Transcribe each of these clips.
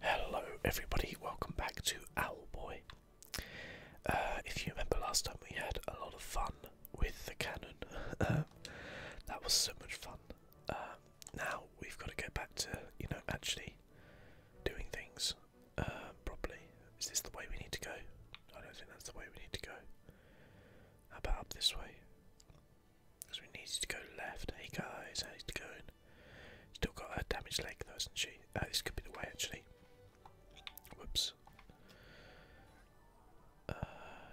Hello, everybody. Welcome back to Owlboy. Uh, if you remember last time, we had a lot of fun with the cannon. that was so much fun. Uh, now we've got to get back to you know actually doing things uh, properly. Is this the way we need to go? I don't think that's the way we need to go. How about up this way? Because we need to go left. Hey guys, how's it going? Still got a damaged leg though, does not she? Uh, this could be the way actually. Whoops. Uh,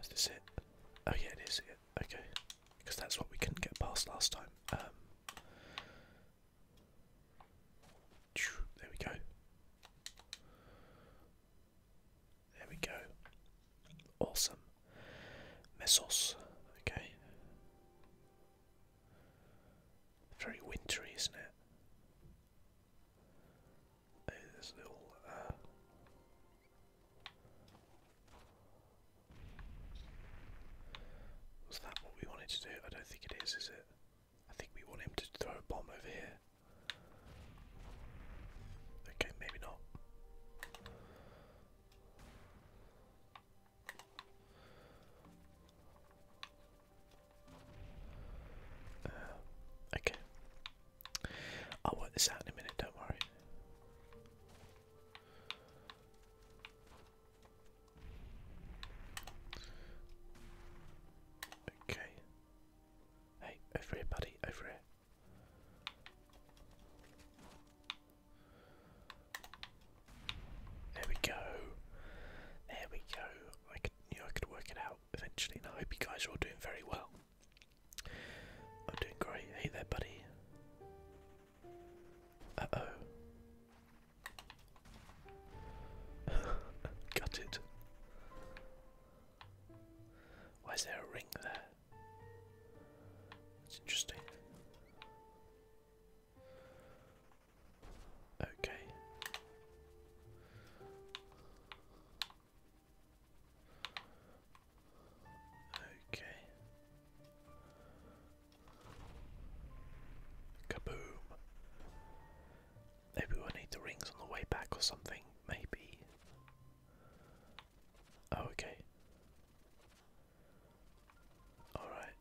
is this it? Oh yeah, it is. Yeah. Okay. Because that's what we couldn't get past last time. Um, there we go. There we go. Awesome. Mesos. Okay. Very wintry, isn't it? Uh, was that what we wanted to do? I don't think it is, is it? I think we want him to throw a bomb over here. Okay, maybe not. Uh, okay. I'll work this out in a minute, don't worry. Okay. Hey, over here, buddy, over here. There we go. There we go. I could, I could work it out eventually, and I hope you guys are all doing very well. I'm doing great. Hey there, buddy. Uh oh. Got it. Why is there a ring there? It's interesting. Okay. Okay. Kaboom. Maybe we'll need the rings on the way back or something, maybe. Oh, okay. Alright.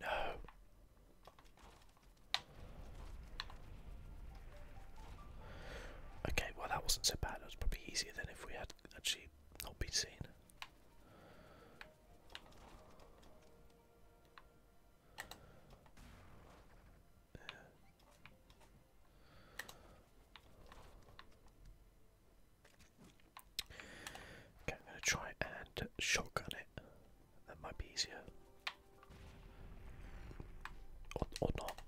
No. Okay, well that wasn't so bad. It was probably easier than if we had actually not been seen. Yeah. Okay, I'm going to try and shotgun it. That might be easier. Or, or not.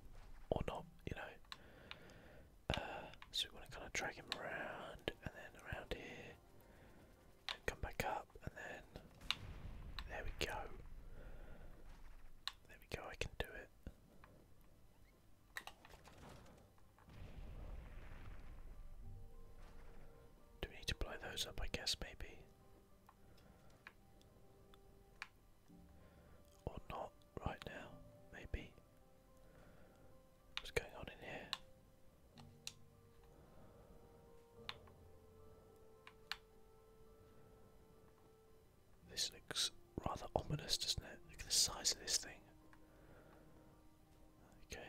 Or not, you know. Uh, so we want to kind of drag him around and then around here. And come back up and then. There we go. There we go, I can do it. Do we need to blow those up? I guess maybe. Or not right now, maybe. What's going on in here? This looks rather ominous, doesn't it? Look at the size of this thing. Okay.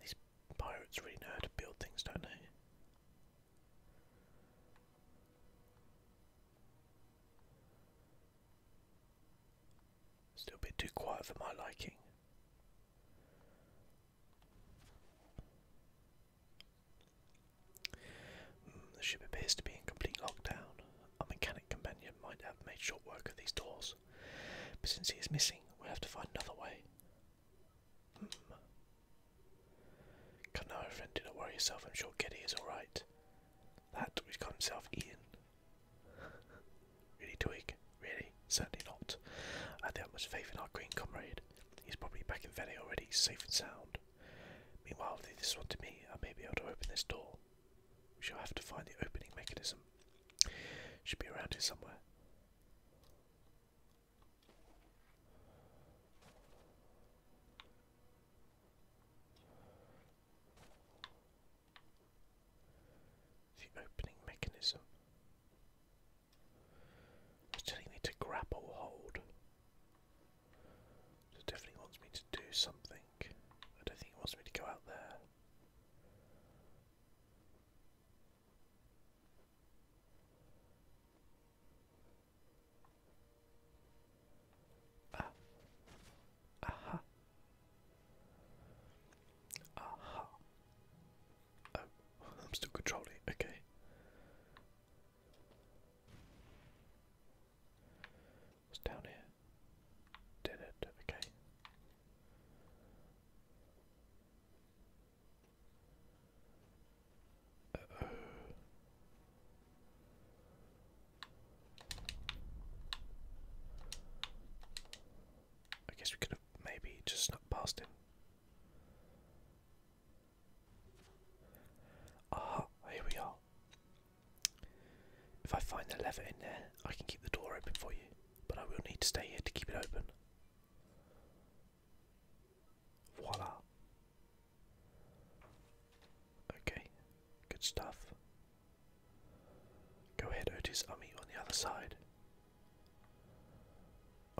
These pirates really know how to build things, don't they? Still a bit too quiet for my liking. Mm, the ship appears to be in complete lockdown. Our mechanic companion might have made short work of these doors, but since he is missing, we have to find another way. Hmm. Come now, friend, do not worry yourself. I'm sure Geddy is all right. That which got himself eaten. really, Twig? Really? Certainly not. I have much faith in our green comrade. He's probably back in Venice already, safe and sound. Meanwhile, leave this one to me. I may be able to open this door. We shall have to find the opening mechanism. Should be around here somewhere. The opening mechanism. It's telling me to grapple hold it definitely wants me to do something. I don't think it wants me to go out there. Ah. Aha. Aha. Oh, I'm still controlling Okay. What's down here? Did it, okay. oh. I guess we could have maybe just not past him. Ah, here we are. If I find the lever in there, I can keep the door open for you, but I will need to stay here to keep it open. Voila. Okay, good stuff. Go ahead, Otis, I'll on the other side.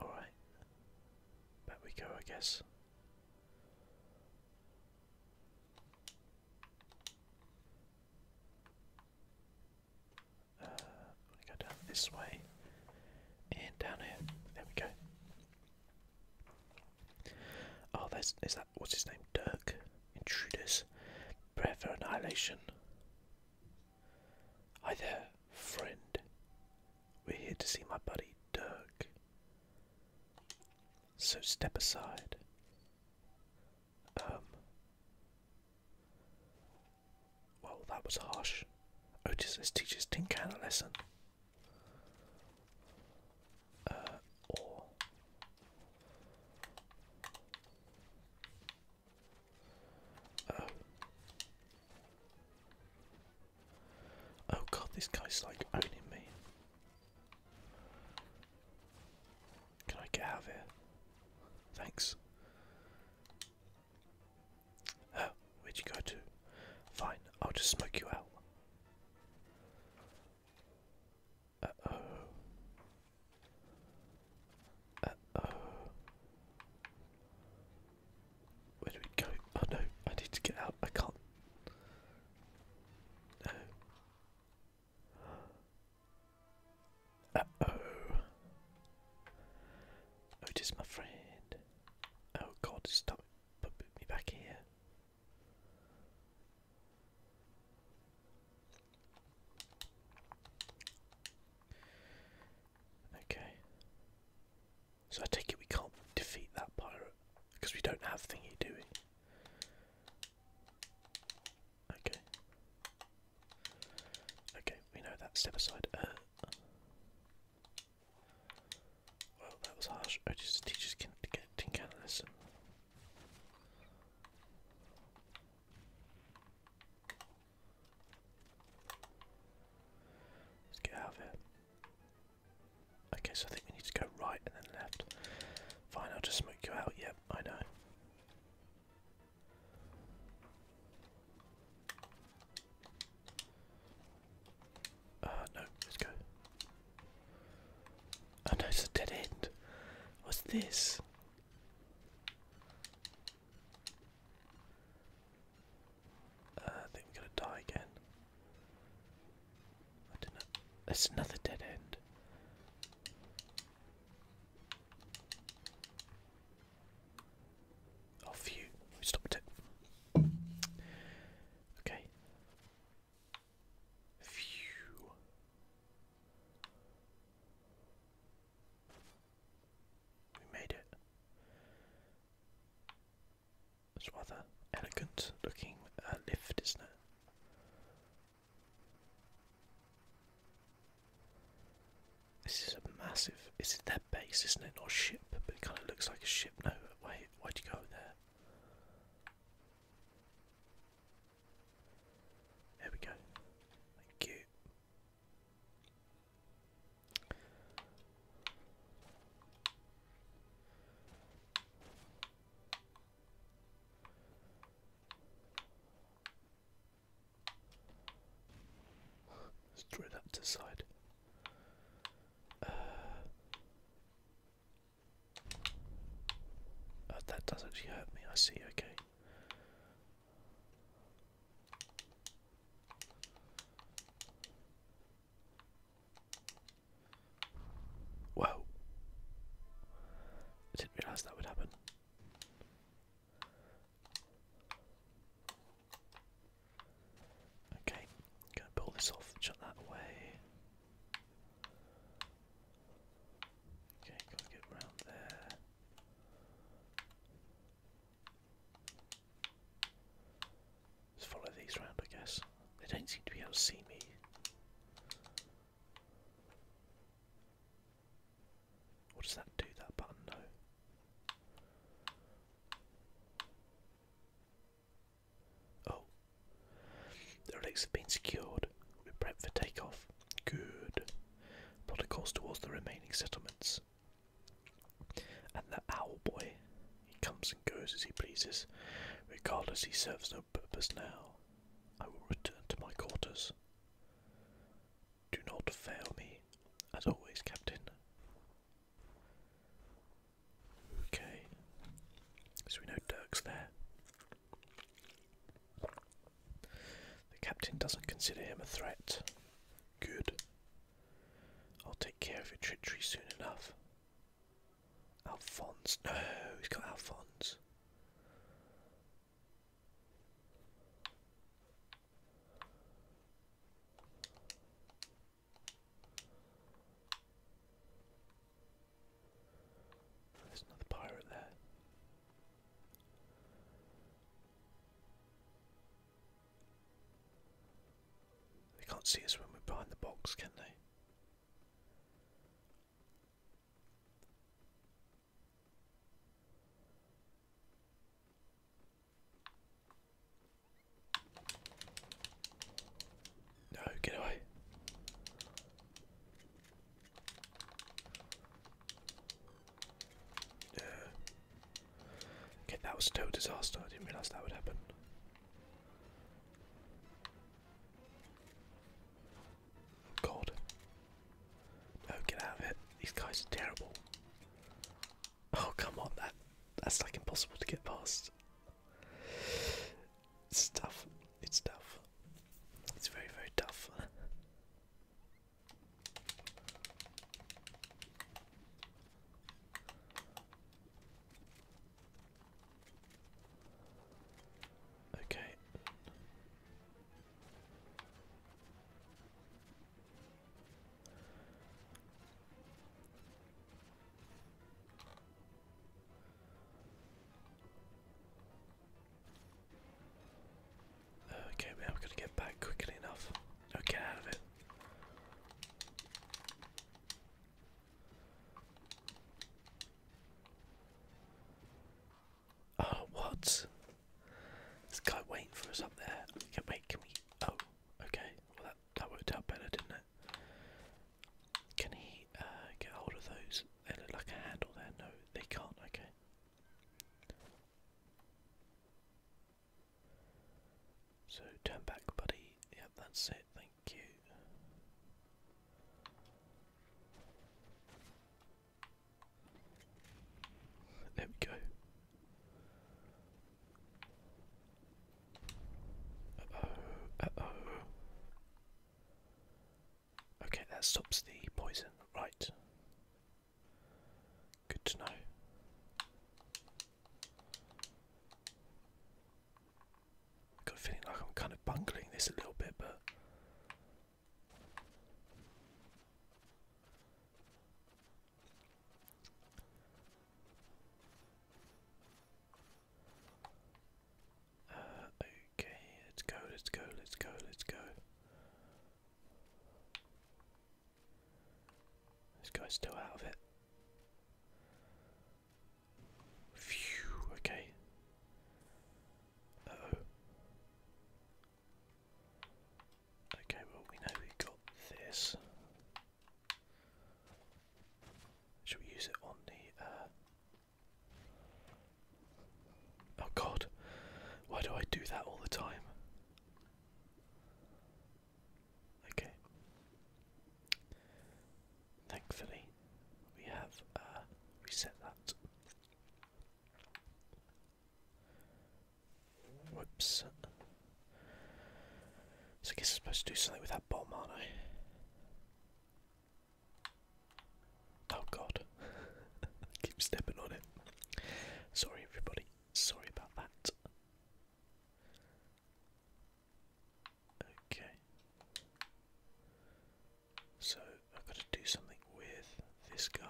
Alright. Back we go, I guess. Uh, i go down this way and down here. There we go. Oh, there's is that what's his name? Dirk. Intruders. Prayer for annihilation. Hi there, friend. We're here to see my buddy Dirk. So step aside. Um. Well, that was harsh. Otis oh, says teaches Tin Can a lesson. Uh, or. Oh god, this guy's like owning me. Can I get out of here? Thanks. Uh, where'd you go to? Fine, I'll just smoke you out. Uh-oh. Uh-oh. Where do we go? Oh no, I need to get out. I can't oh Otis, my friend. Oh god, stop put me back here. Okay. So I take it we can't defeat that pirate because we don't have thingy, do we? Okay. Okay, we know that. Step aside. Uh, well, that was harsh. Oh, teachers can get tin Let's get out of here. Okay, so I think we need to go right and then left. Fine, I'll just smoke you out. Yep, I know. Uh, no, let's go. Oh no, it's a dead end. What's this? Uh, I think we're gonna die again. That's another dead end. Oh, phew. We stopped it. Okay. Phew. We made it. It's rather elegant looking uh, lift, isn't it? This is a massive. Is it their base, isn't it? Not a ship, but it kind of looks like a ship. No, wait, why do you go there? There we go. Thank you. Let's try that to the side. Uh, uh, that does actually hurt me. I see. Okay. Whoa. I didn't realise that would happen. Okay, i to pull this off, shut that away. Okay, gotta get round there. Let's follow these round, I guess. They don't seem to be able to see me. What does that do? That button, no. Oh. The relics have been secured. We're prepped for takeoff. Good. Plot a course towards the remaining settlements. And the owl boy he comes and goes as he pleases. Regardless, he serves no purpose now. I will return to my quarters. Do not fail me, as always, Captain. Okay, so we know Dirk's there. The captain doesn't consider him a threat. Good. I'll take care of your treachery soon enough. Alphonse. No, he's got Alphonse. There's another pirate there. They can't see us when we're behind the box, can they? No, get away. Yeah. Okay, that was total disaster. I didn't realise that would happen. God. No, get out of it. These guys are terrible. Oh come on, that that's like impossible to get past. It's tough. It's tough. It's very, very tough. Okay. Okay, man, I'm gonna get back quickly enough. No, get out of it. Oh, what? This guy waiting for us up there. Can, wait, can we? Oh, okay. Well, that that worked out better, didn't it? Can he uh, get hold of those? They look like a handle there. No, they can't. Okay. So turn back, buddy. Yep, that's it. There we go. oh, oh. Okay, that stops the poison, right. Good to know i got a feeling like I'm kind of bungling this a little bit, but. Uh, okay, let's go, let's go, let's go, let's go. This guy's still out of it. Phew, okay. oh. Okay, well, we know we got this. Should we use it on the. Uh, oh god, why do I do that all the time? Okay. Thankfully, we have uh, reset that. Whoops. So I guess I'm supposed to do something with that bomb, aren't I? Oh god. Keep stepping on it. Sorry everybody. Sorry about that. Okay. So I've got to do something with this guy.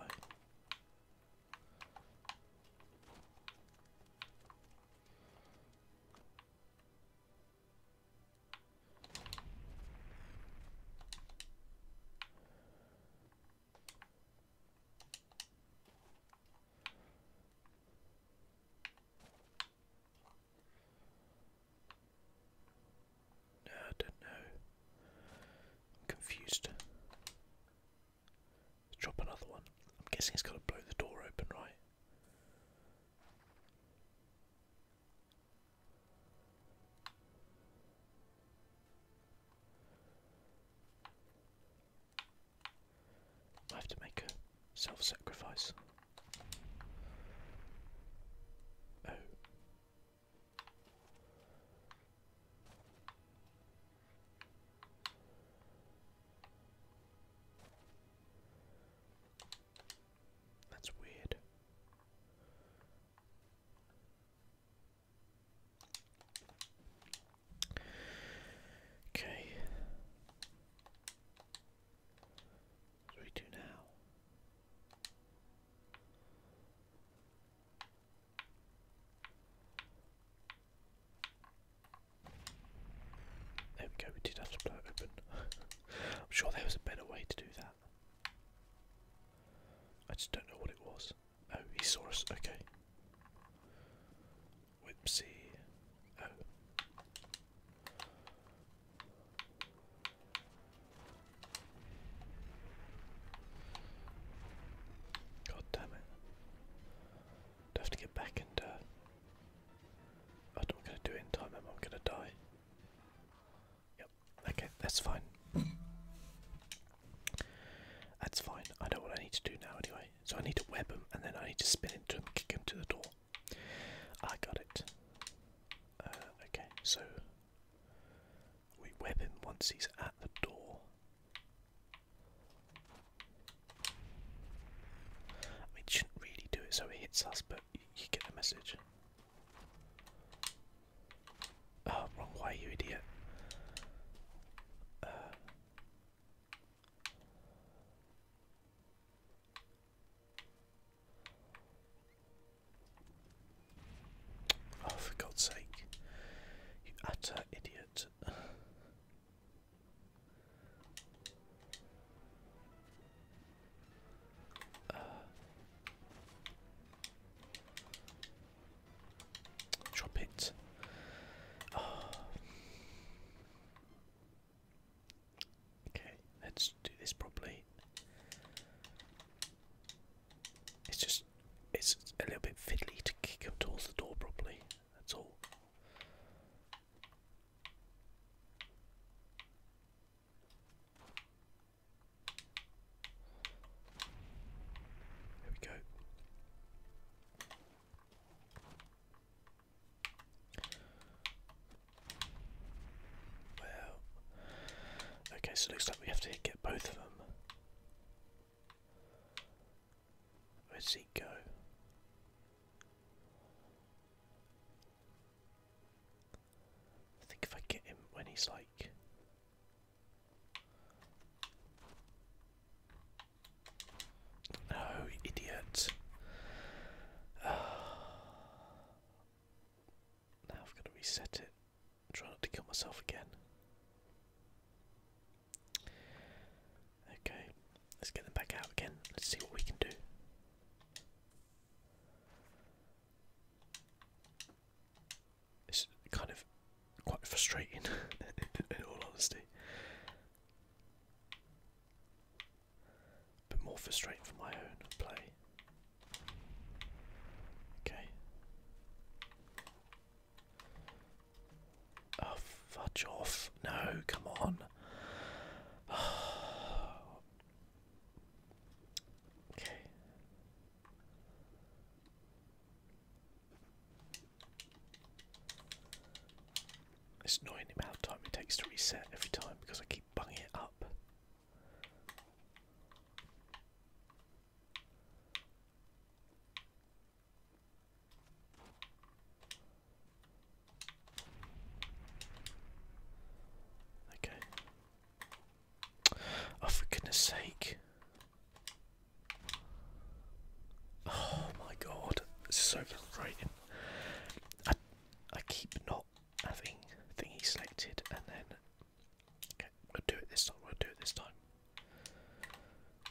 I don't know. am confused. drop another one. I'm guessing it's going to blow the door open, right? I have to make a Self sacrifice. Oh. That's weird. Okay. What we do now? There we go, we did have to blow it open. I'm sure there was a better way to do that. I just don't know what it was. Oh, he saw okay. Whipsy. Oh. God damn it. Do have to get back and uh, oh, I'm not gonna do it in time, i am I gonna die? Yep, okay, that's fine. That's fine. I know what I need to do now anyway. So I need to web him and then I need to spin into him, kick him to the door. I got it. Uh, okay, so we web once he's at the door. I shouldn't really do it so it hits us, but you get the message. Oh, wrong way, you idiot. Uh, Oh, for God's sake. You utter idiot. Uh. drop it. Ah. Okay, let's do this properly. It's just, it's a little bit fiddly to kick him towards the door properly, that's all. There we go. Well, okay, so it looks like we have to get both of them. Let's see. go? I think if I get him when he's like. Oh, idiot. Now I've got to reset it. Try not to kill myself again. Okay, let's get them back out again. Let's see what we can do. It's kind of quite frustrating, in all honesty. But more frustrating for my own play. Okay. Oh, fudge off. No, come on. okay. It's annoying the amount of time it takes to reset every time because I keep keep it up. Okay. Oh, for goodness sake. Oh my god, this is so frustrating. I, I keep not having he selected and then okay, we'll do it this time, we'll do it this time.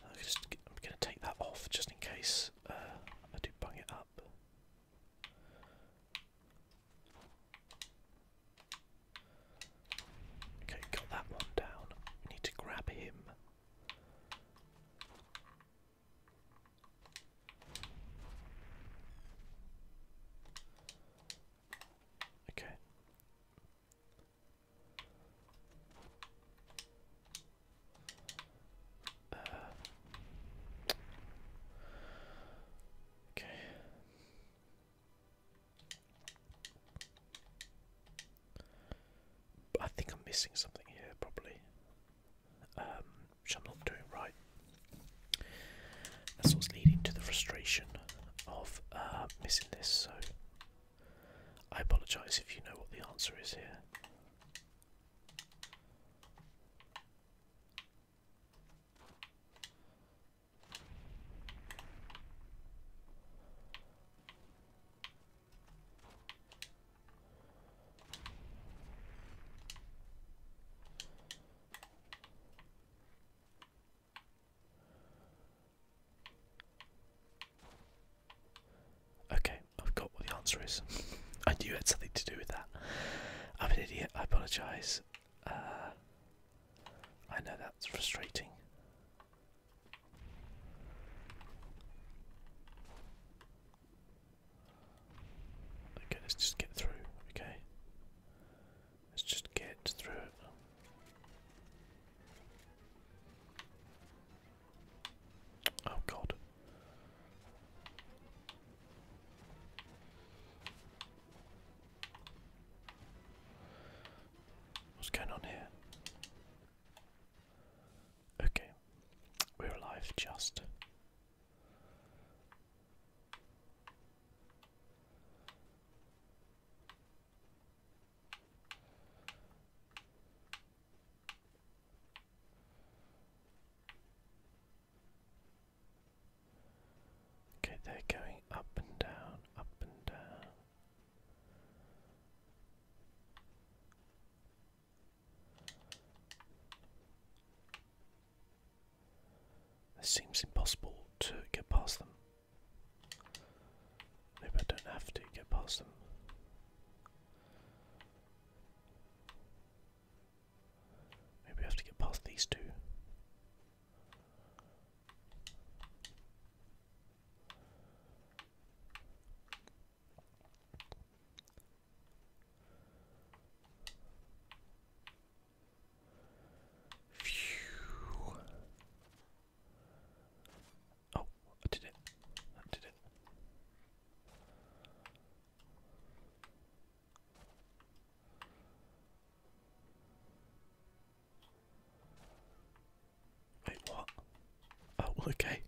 I'm, just, I'm gonna take that off just in case uh, I do bung it up. Okay, got that one down. We need to grab him. Okay. Uh, okay. I think I'm missing something here, probably. Um, which I'm not doing right. That's what's leading to the frustration of uh, missing this, so I apologise if you know what the answer is here. Okay, I've got what the answer is. I knew it had something to do with that. I'm an idiot, I apologise. Uh, I know that's frustrating. Okay, let's just get through, okay? Let's just get through it. Oh god. What's going on here? Okay. We're alive just Okay, they're going up and down, up and down. It seems impossible to get past them. Maybe I don't have to get past them. Maybe I have to get past these two. Phew. Oh, I did it. I did it. Wait, what? Oh, okay.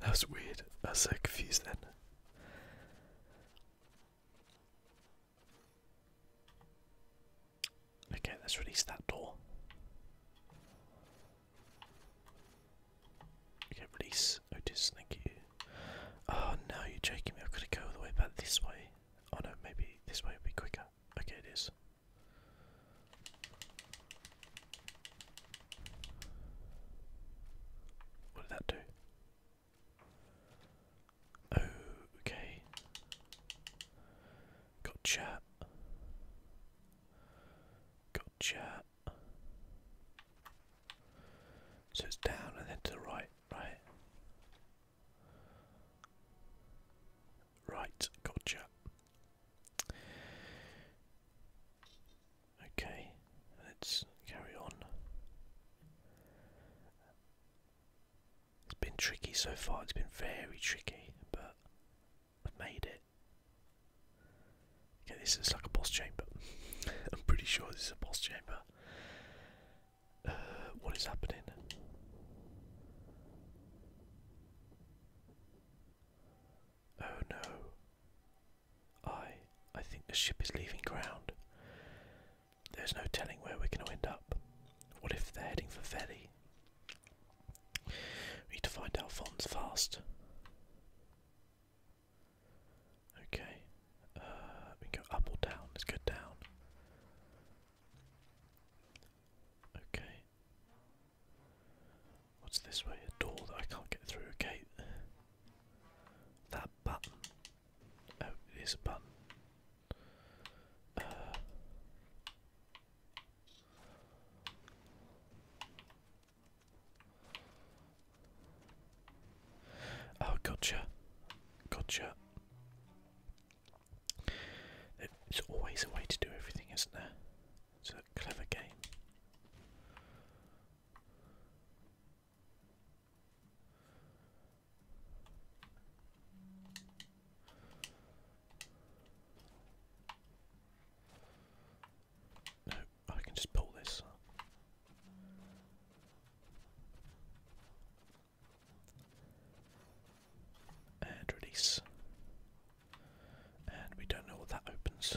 That was weird. I was so confused then. Okay, let's release that door. Okay, release Otis, oh, thank you. Oh no, you're joking me, I've got to go all the way back this way. Oh no, maybe this way would be quicker. Okay, it is. What did that do? Okay. Got chat. So it's down and then to the right, right? Right, gotcha. Okay, let's carry on. It's been tricky so far, it's been very tricky, but I've made it. Okay, this is like a boss chamber. I'm pretty sure this is a boss chamber. Uh, what is happening? Oh no. I I think the ship is leaving ground. There's no telling where we're going to end up. What if they're heading for Veli? We need to find our Alphonse fast. Okay, uh, we go up or down. Let's go down. Okay. What's this way? A door that I can't get through. A gate. That button. Oh, it is a button. Uh. oh, gotcha. Gotcha. There's always a way to do everything, isn't there? It's a clever game. No, I can just pull this. And release. And we don't know what that opens.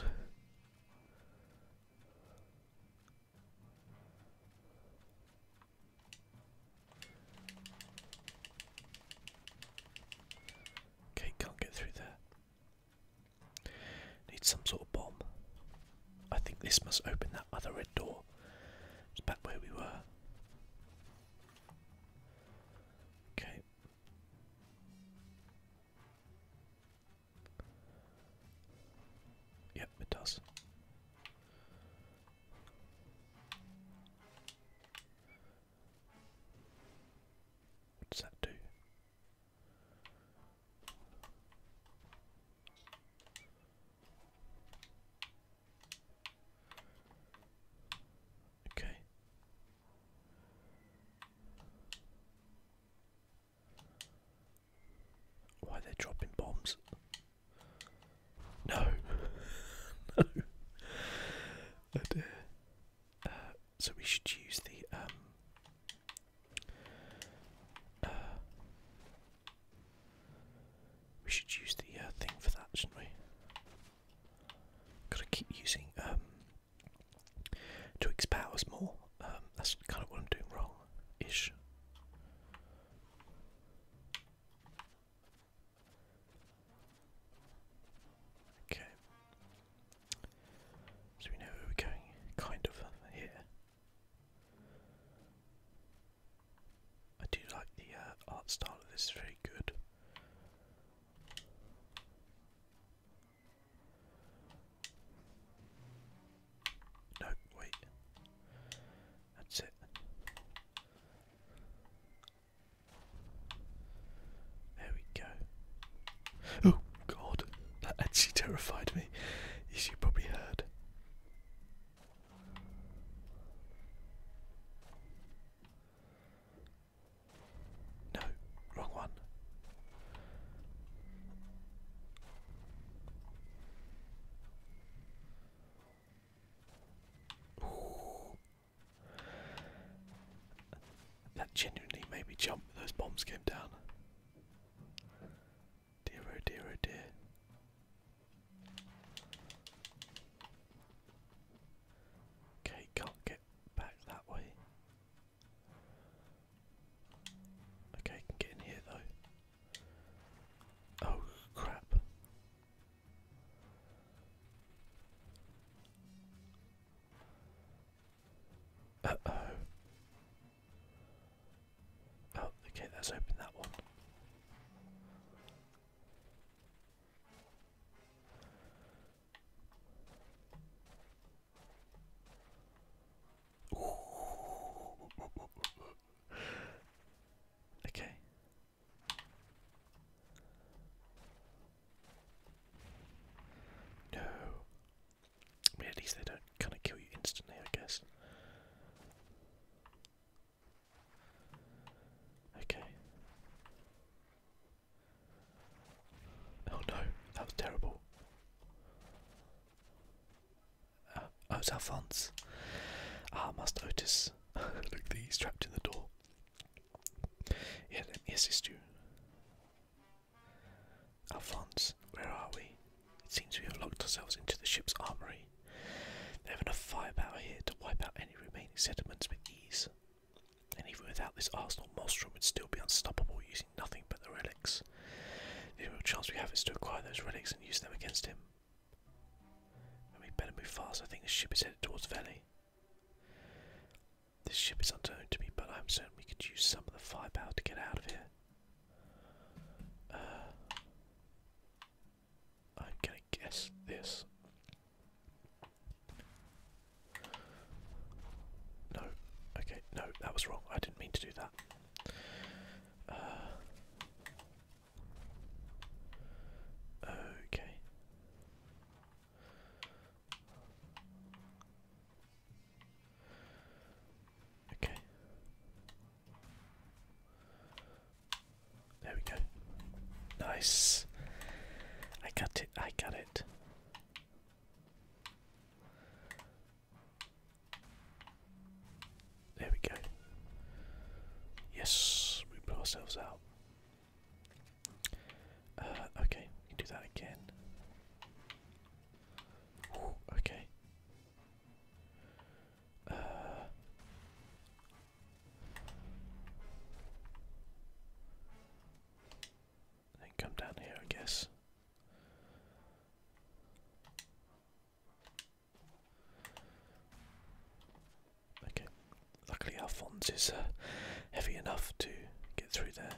Okay, can't get through there. Need some sort of bomb. I think this must open that other red door. back where we were. Okay. Yep, it does. What does that do? Okay. Why are they dropping bombs? No. no. Uh, uh, so we should use the um uh, we should use the thing for that, shouldn't we? Gotta keep using um to powers more. Um, that's kind of what I'm doing wrong ish. Okay. So we know where we're going, kind of, here. I do like the uh, art style of this, very good. No, wait. That's it. There we go. Oh god, that actually terrified me, as you probably heard. No, wrong one. That genuinely made me jump. Those bombs came down. Oh dear oh dear Okay, can't get back that way. Okay, can get in here though. Oh crap. Uh oh. Oh, okay, let's open that one okay. No. at least they don't kind of kill you instantly, I guess. Okay. Oh no, that was terrible oh, uh, it's Alphonse. Ah, must Otis. Look, he's trapped in the door. Yeah, let me assist you. Alphonse, where are we? It seems we have locked ourselves into the ship's armory. They have enough firepower here to wipe out any remaining sediments with ease. And even without this arsenal, Maelstrom would still be unstoppable using nothing but the relics. The only chance we have is to acquire those relics and use them against him we better move fast. I think the ship is headed towards the valley. This ship is unknown to me, but I'm certain we could use some of the firepower to get out of here. Uh, I'm gonna guess this. No, okay, no, that was wrong. I didn't mean to do that. Uh, Okay. Okay. There we go. Nice. I got it. I got it. There we go. Yes, we pull ourselves out. Uh, okay, we can do that again. okay. Uh, then come down here, I guess. Okay, luckily our font is uh, heavy enough to get through there.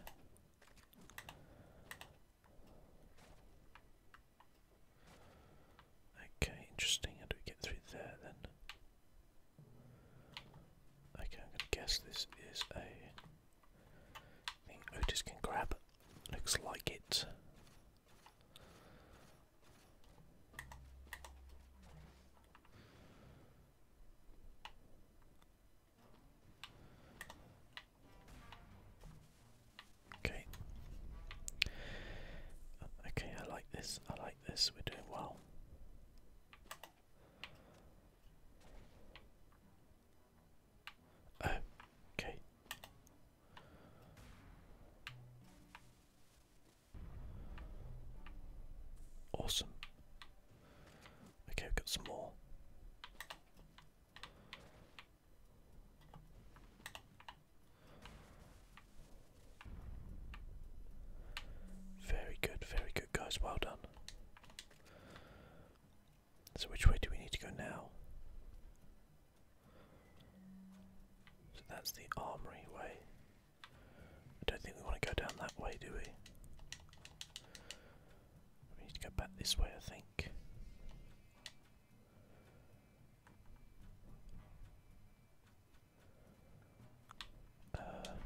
Okay, interesting. How do we get through there then? Okay, I'm gonna guess this is a thing Otis can grab. Looks like it. Okay. Uh, okay, I like this. I like this. We're doing well. Oh, okay. Awesome. Okay, we've got some more. Very good, very good, guys. Well done. So, which way do we need to go now? So that's the armory way. I don't think we want to go down that way, do we? We need to go back this way, I think. Uh,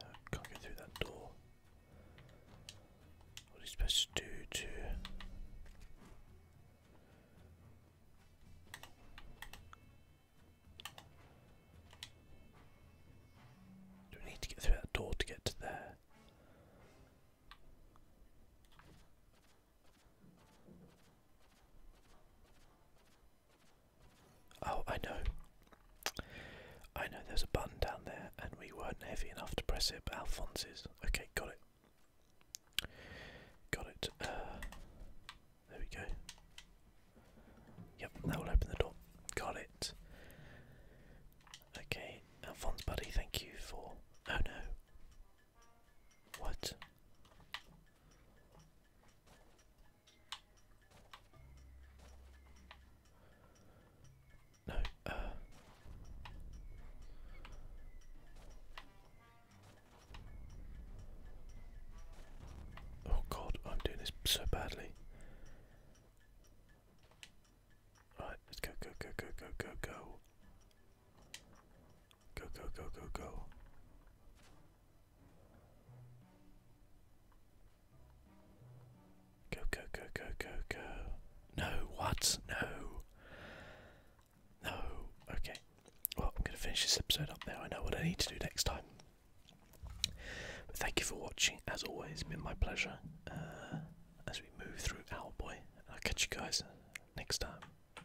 uh, can't get through that door. What supposed to do do we need to get through that door to get to there? Oh, I know. I know there's a button down there and we weren't heavy enough to press it, but Alphonse's. Okay, got it. Got it. Uh, there we go. Yep, that will open the door. Got it. Okay, Alphonse, buddy, thank you for. Oh no. What? No, uh. Oh god, I'm doing this so badly. Right, let's go, go, go, go, go, go, go. Go, go, go, go, go. Go, go, go, go, go, go. No, what? No. No. Okay. Well, I'm going to finish this episode up now. I know what I need to do next time. But thank you for watching. As always, it's been my pleasure uh, as we move through Owlboy. I'll catch you guys next time.